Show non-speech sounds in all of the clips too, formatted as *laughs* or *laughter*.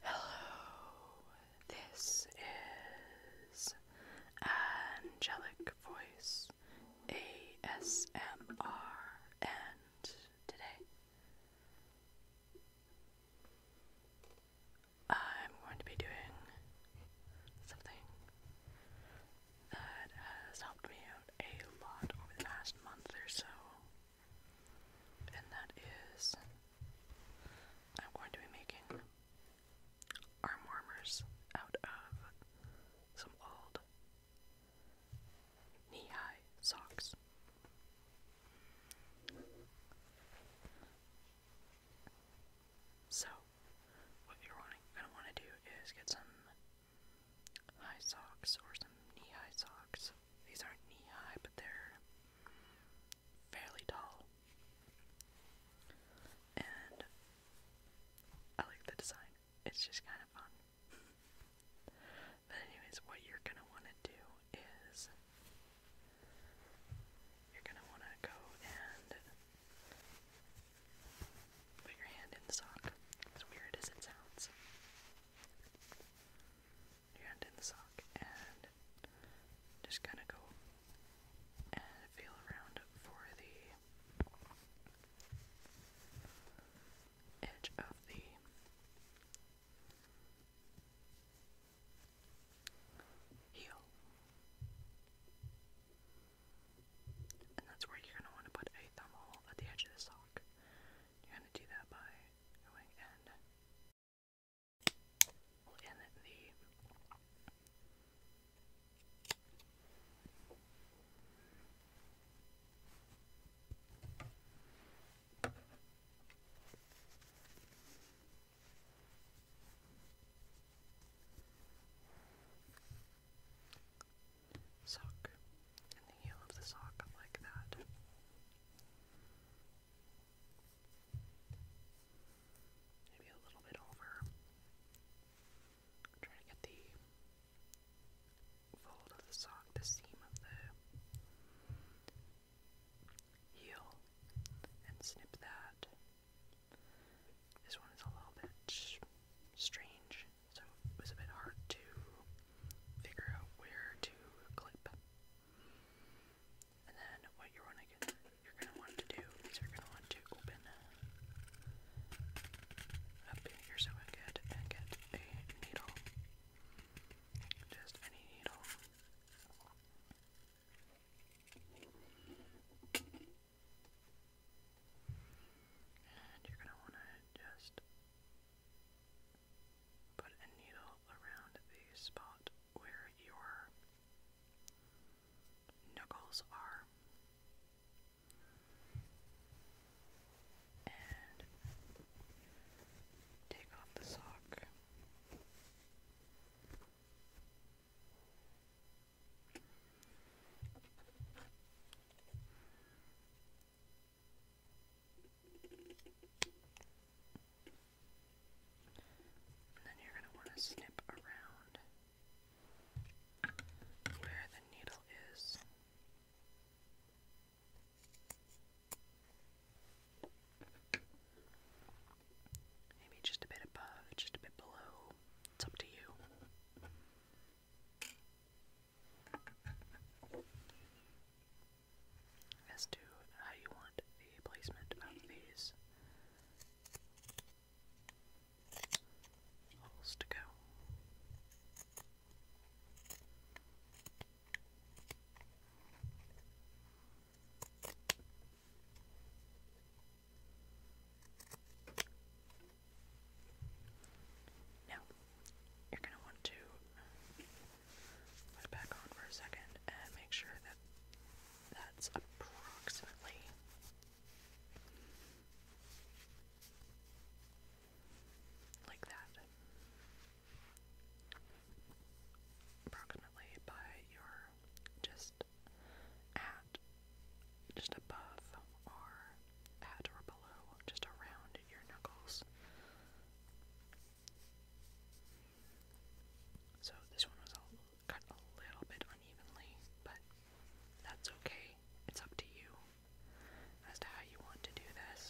Hello, this is Angelic Voice ASMR, and today I'm going to be doing something that has helped me out a lot over the last month or so, and that is I'm going to be making arm warmers out of some old knee high socks. So, what you're wanting, gonna want to do is get some high socks or some knee high socks. These aren't knee high, but they're fairly tall. And I like the design, it's just kind of fun. *laughs* but, anyways, what you're gonna want to do is you're gonna want to go and Put your hand in the sock, as weird as it sounds. Your hand in the sock, and just kind of go and feel around for the edge of the heel. And that's where you're going to want to put a thumb hole at the edge of the sock. You're going to do that by going in, well, in the sock and the heel of the sock like that. Maybe a little bit over. I'm trying to get the fold of the sock, the seam of the heel, and snip that. This one is a little bit strange so it was a bit hard to figure out where to clip. And then what you're gonna you're gonna want to do you're gonna want to open up your sewing kit and get a needle, just any needle. And you're going to want to just put a needle around the spot where your knuckles are. And take off the sock. And then you're going to want to snip around where the needle is. Maybe just a bit above, just a bit below. It's up to you as to how you want the placement of these holes to go. Now, you're going to want to put it back on for a second and make sure that that's approximately like that. Approximately by your just at just above or at or below, just around your knuckles. So this one was cut a little bit unevenly, but that's okay. It's up to you as to how you want to do this.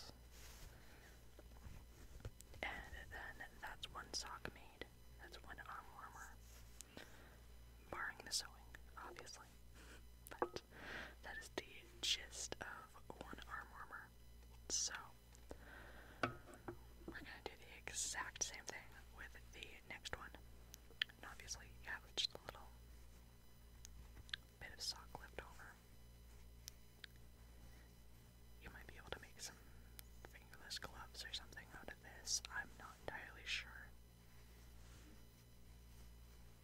And then that's one sock made. That's one arm warmer. Barring the sewing, obviously. That is the gist of one arm warmer. So, we're gonna do the exact same thing with the next one. And obviously, you have just a little bit of sock left over. You might be able to make some fingerless gloves or something out of this. I'm not entirely sure. Uh,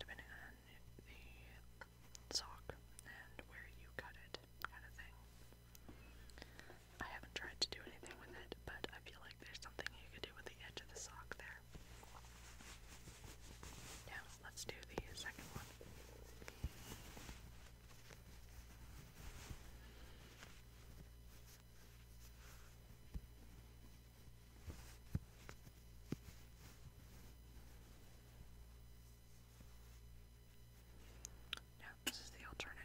depending on the sock and where you cut it, kind of thing. I haven't tried to do anything with it, but I feel like there's something you could do with the edge of the sock there. Now, let's do the second one. Yeah, this is the alternative.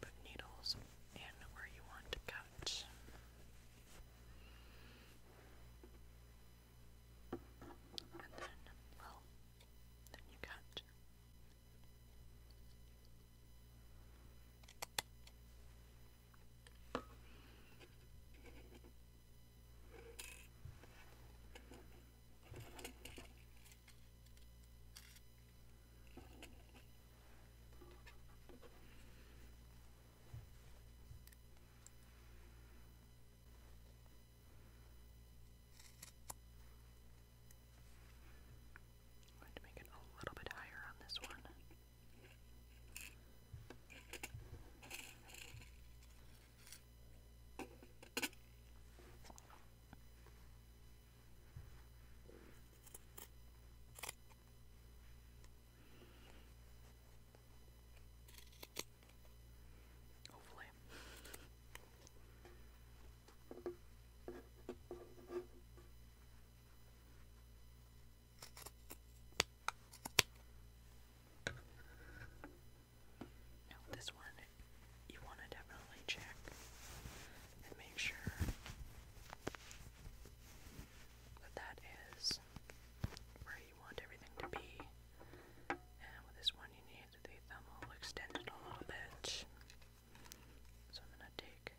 Put needles in where you want to cut. And then, well, then you cut. I'm going to make it a little bit higher on this one. Hopefully. Now, this one you want to definitely check and make sure but that is where you want everything to be. And with this one, you need the thumb extended a little bit. So I'm going to take.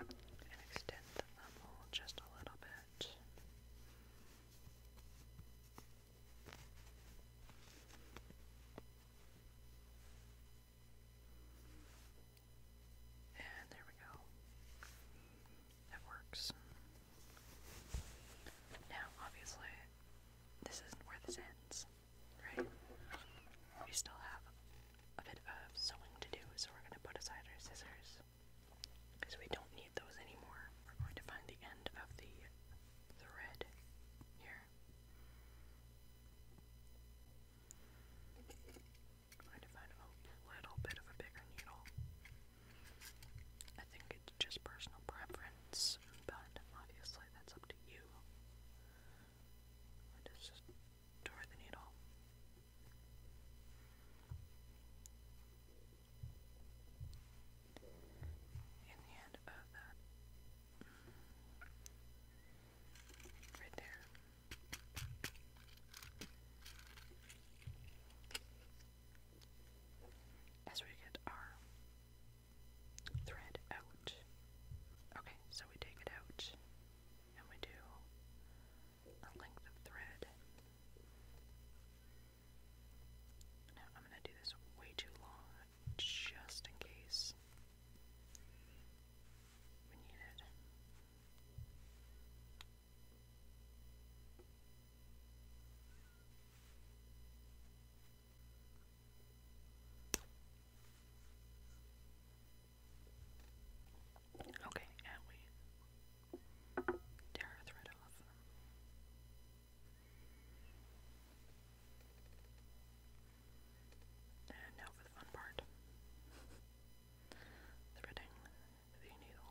And extend the thumb just a little bit. And there we go. That works. Now, obviously, this isn't where this ends, right? We still have a bit of sewing to do, so we're going to put aside our scissors because we don't need those anymore. We're going to find the end of the thread here. i to find a little bit of a bigger needle. I think it's just personal preference, but obviously that's up to you. I just store the needle in the end of that. Mm. Right there. As we get our thread out. Okay, so we take it out and we do a length of thread now I'm going to do this way too long just in case we need it. Okay, and we tear our thread off. And now for the fun part *laughs* threading the needle.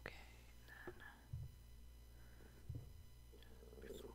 Okay, and then before.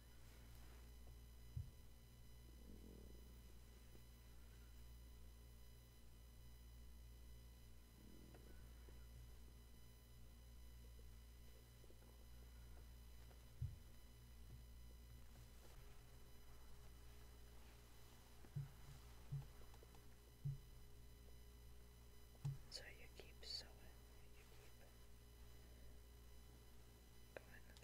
So you keep sewing, going through. Okay.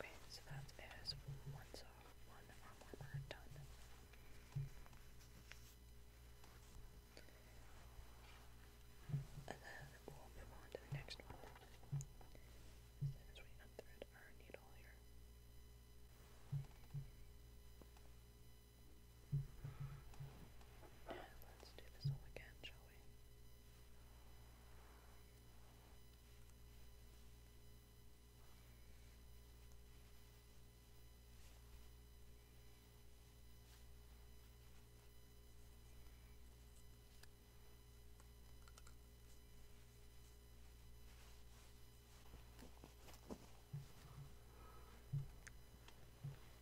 Okay, so that is one saw, one arm done. And then we'll move on to the next one. As soon as we unthread our needle here. And let's do this all again, shall we?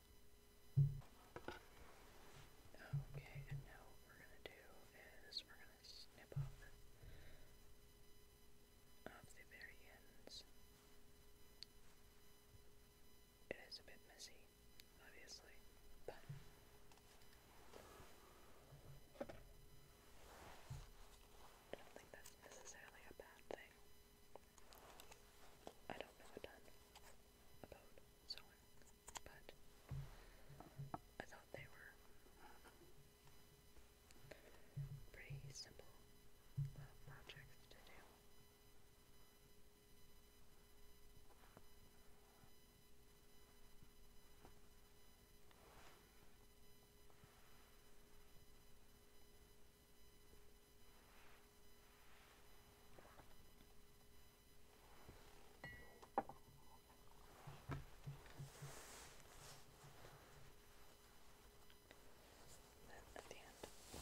Okay, and now what we're going to do is we're going to snip off, the very ends. It is a bit messy, obviously, but... I don't think that's necessarily a bad thing. I don't know a ton about sewing, but I thought they were pretty simple little uh, to do. Then at the end. Okay.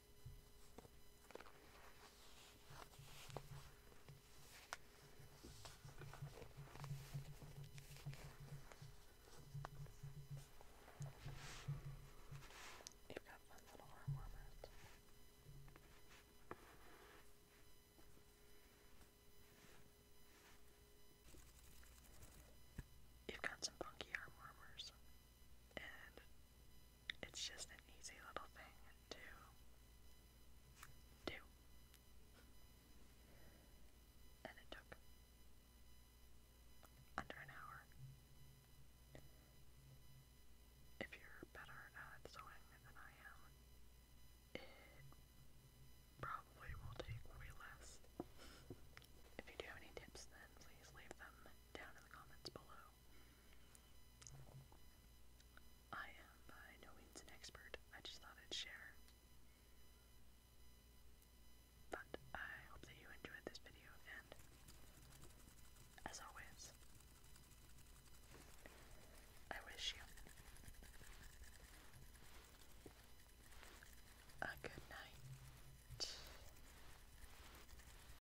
You've got fun little arm warmers. You've got some funky arm warmers and it's just an easy little thing to do. And it took under an hour. If you're better at sewing than I am, it probably will take way less. If you do have any tips, then please leave them down in the comments below. I am by no means an expert, I just thought I'd share. But I hope that you enjoyed this video, and as always, I wish you a good night.